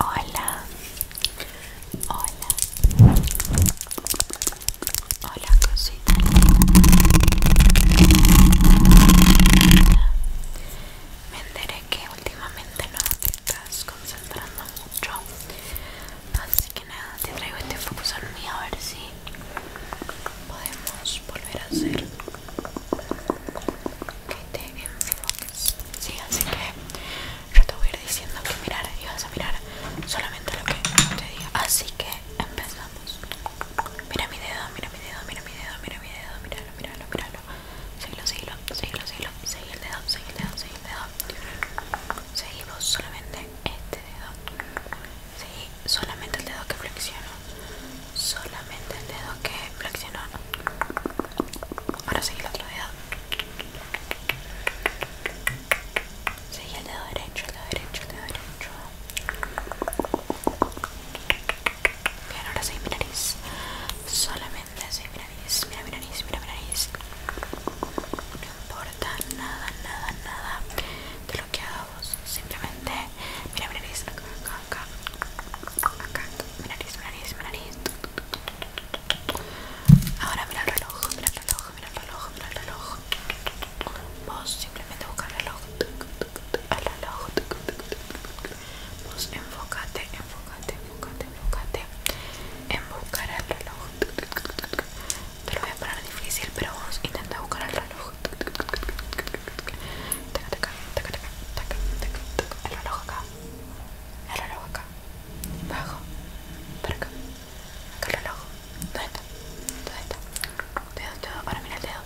Hola, hola, hola cosita Me enteré que últimamente no te estás concentrando mucho Así que nada, te traigo este focus en mí a ver si podemos volver a hacer que te enfoques sí así que yo te voy a ir diciendo que mirar y vas a mirar solamente lo que te diga así que empezamos mira mi dedo mira mi dedo mira mi dedo mira mi dedo mira, mira, mira, míralo míralo míralo seguilo seguilo seguilo seguilo seguí el dedo seguí el dedo seguí el dedo seguimos solamente este dedo seguí solamente el dedo que flexiono solamente el dedo que flexionó ahora seguí el otro dedo sigue el dedo derecho el dedo derecho el dedo derecho bien ahora sigue mi nariz solamente sigue mi nariz mira mi nariz mira mi nariz no importa nada nada nada Simplemente, mira mi nariz, acá, acá, acá, acá, mi nariz, mi nariz, Ahora mira el reloj, mira el reloj, mira el reloj, mira el reloj. Vos simplemente buscar el reloj, al reloj. Vos enfocate enfocate enfocate enfocate en buscar el reloj. Te lo voy a parar difícil, pero vamos intenta buscar el reloj. El reloj acá. El reloj acá. Bajo. Para acá. Acá el reloj. ¿Dónde está? ¿Dónde está? Dedo, dedo. Ahora mira el dedo.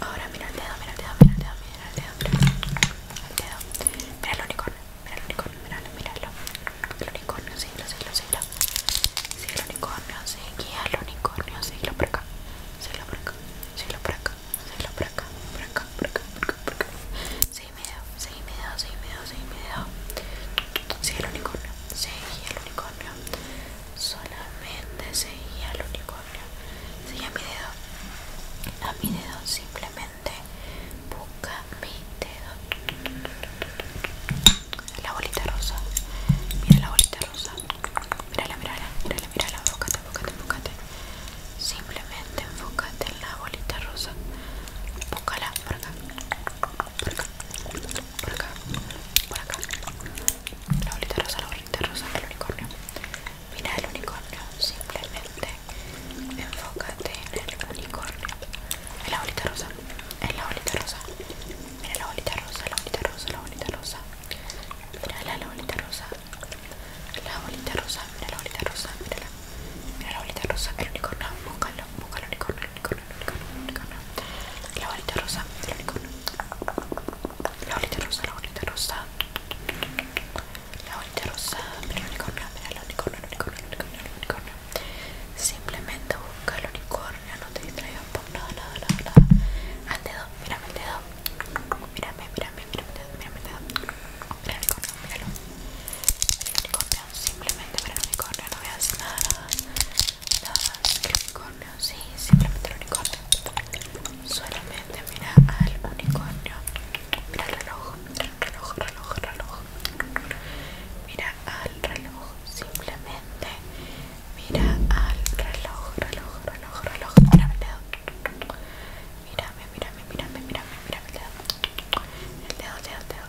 Ahora mira el dedo, mira el dedo, mira el dedo, mira el dedo, mira el dedo. Mira el unicornio. Mira el unicornio, mira, El unicornio, sí, lo sí, lo sé, lo Siglo unicornio, el unicornio, por acá, por acá, acá, mi dedo, seguí el unicornio, el unicornio. Solamente el unicornio. a mi dedo. A mi dedo simplemente busca mi dedo. La bolita rosa. Mira la bolita rosa. Mírala, mírala, mira la Enfócate, enfócate, enfócate. Simplemente enfócate en la bolita rosa. Bócala, por acá. Por acá. Por acá. Por acá. La bolita rosa, la bolita rosa, el unicornio. Mira el unicornio. Simplemente enfócate en el unicornio la bolita rosa. la bolita rosa. Mira la bolita rosa, la bolita rosa, la bolita rosa. la bolita rosa. La bolita rosa, mira la bolita rosa, la bolita rosa, el unicornio, búscalo, la unicornio, La bolita rosa, La bolita rosa, la bolita rosa. La bolita rosa, el unicornio. Simplemente busca el unicornio, no te distraigas por nada, nada, nada, nada. Al dedo, mírame el dedo. Mírame, mírame, mírame mírame dedo. Mira unicornio, unicornio, simplemente mira el unicornio, no veas nada, nada. Nada, el unicornio, sí, simplemente el unicornio. Solamente mira al unicornio. Mira el reloj, mira el reloj, reloj mira al reloj, simplemente mira al reloj, reloj, reloj, reloj, mira el dedo, mírame, mírame, mírame, mírame, mírame el dedo, el dedo, el dedo,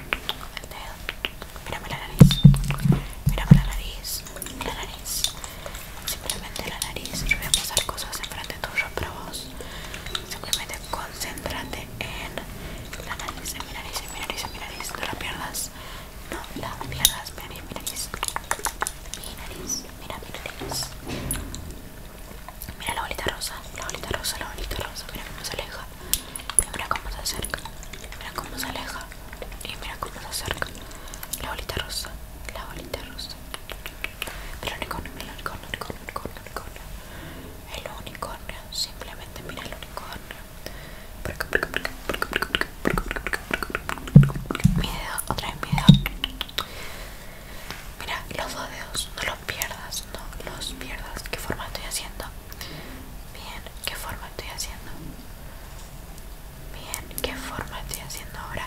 el dedo, el dedo, la nariz, mírame la nariz, la nariz, simplemente la nariz, yo voy a pasar cosas enfrente tuyo para vos, simplemente concentrate concéntrate en la nariz, en mi nariz, en nariz, en No la pierdas, no la pierdas. Mira mira mira Mira la bolita rosa, la bolita rosa, la bolita rosa. Mira cómo se aleja, mira cómo se acerca, mira cómo se aleja cómo se acerca. La bolita rosa, la bolita rosa. El unicornio, el unicornio, el unicornio, el unicornio. El unicornio, simplemente mira el unicornio. Mi dedo, otra vez mi dedo. Mira, los dos dedos, no los pierdas, no los pierdas. ¿Qué forma estoy haciendo? Bien, ¿qué forma estoy haciendo? Bien, ¿qué forma estoy haciendo ahora?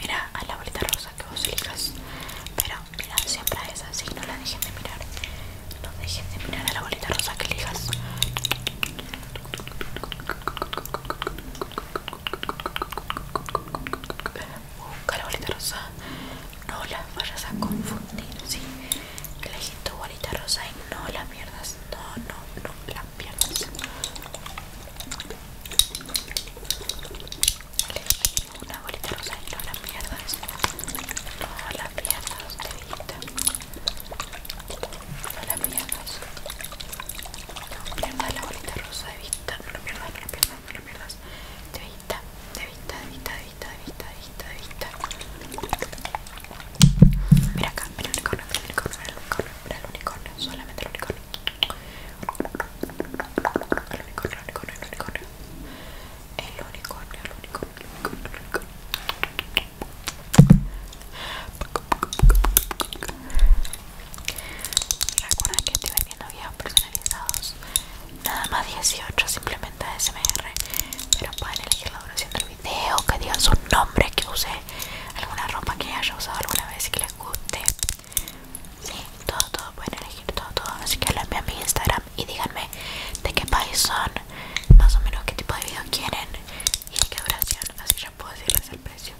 mira a la bolita rosa que vos elijas pero mira siempre a esa, así no la dejen de mirar no dejen de mirar a la bolita rosa que elijas busca la bolita rosa no la vayas a confundir ¿sí? elegí tu bolita rosa y no la pierdas no, no, no la pierdas una bolita rosa y no la pierdas. No la pierdas, vista No la pierdas. No la bolita rosa, vista No la pierdas, no la pierdas, no vista de vista vista vista vista vista vista vista Mira acá, mira mira el unicornio, mira el unicornio, mira el unicornio, solamente el unicornio. El unicornio, el unicornio, el unicornio. El unicornio, el que estoy videos personalizados. Nada más 18, simplemente ASMR. Pero pueden elegir la duración del video, que digan su nombre, que use alguna ropa que haya usado alguna vez y que les guste Sí, todo, todo, pueden elegir todo, todo Así que lo a mi Instagram y díganme de qué país son Más o menos qué tipo de video quieren y de qué duración Así ya puedo decirles el precio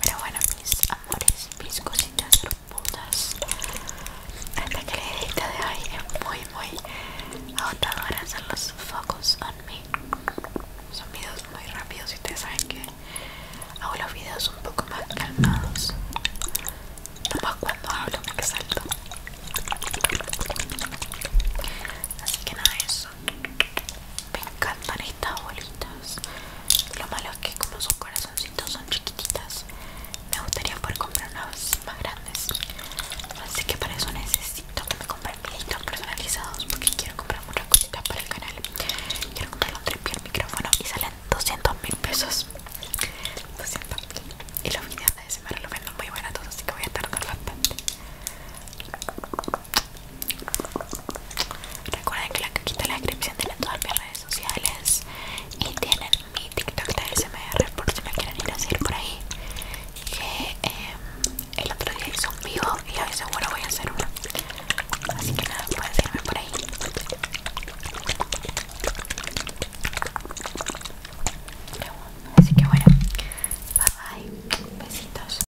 pero bueno, mis amores, mis cositas mudas. Esta creidita de hoy es muy, muy hora hacer los focus on me. Son videos muy rápidos y ustedes saben que hago los videos un poco más calmados. Nomás cuando hablo me exalto. Así que nada, eso. Me encantan estas bolitas. Lo malo es que como sus corazoncitos son chiquititas, me gustaría poder comprar unas más grandes. Así que para eso necesito que me compren pilitos personalizados porque quiero comprar muchas cositas para el canal. Quiero comprar un tripié, el micrófono y salen 200 mil pesos. 200 mil. Y los videos de semana los vendo muy baratos, así que voy a tardar bastante. Recuerden que la cajita de la descripción tienen todas mis redes sociales y tienen mi TikTok de SMR por si me quieren ir a seguir por ahí. Que eh, el otro día hice un vivo y hoy seguro voy a hacer uno. Así que nada, pueden seguirme por ahí. Así que bueno, bye bye, besitos.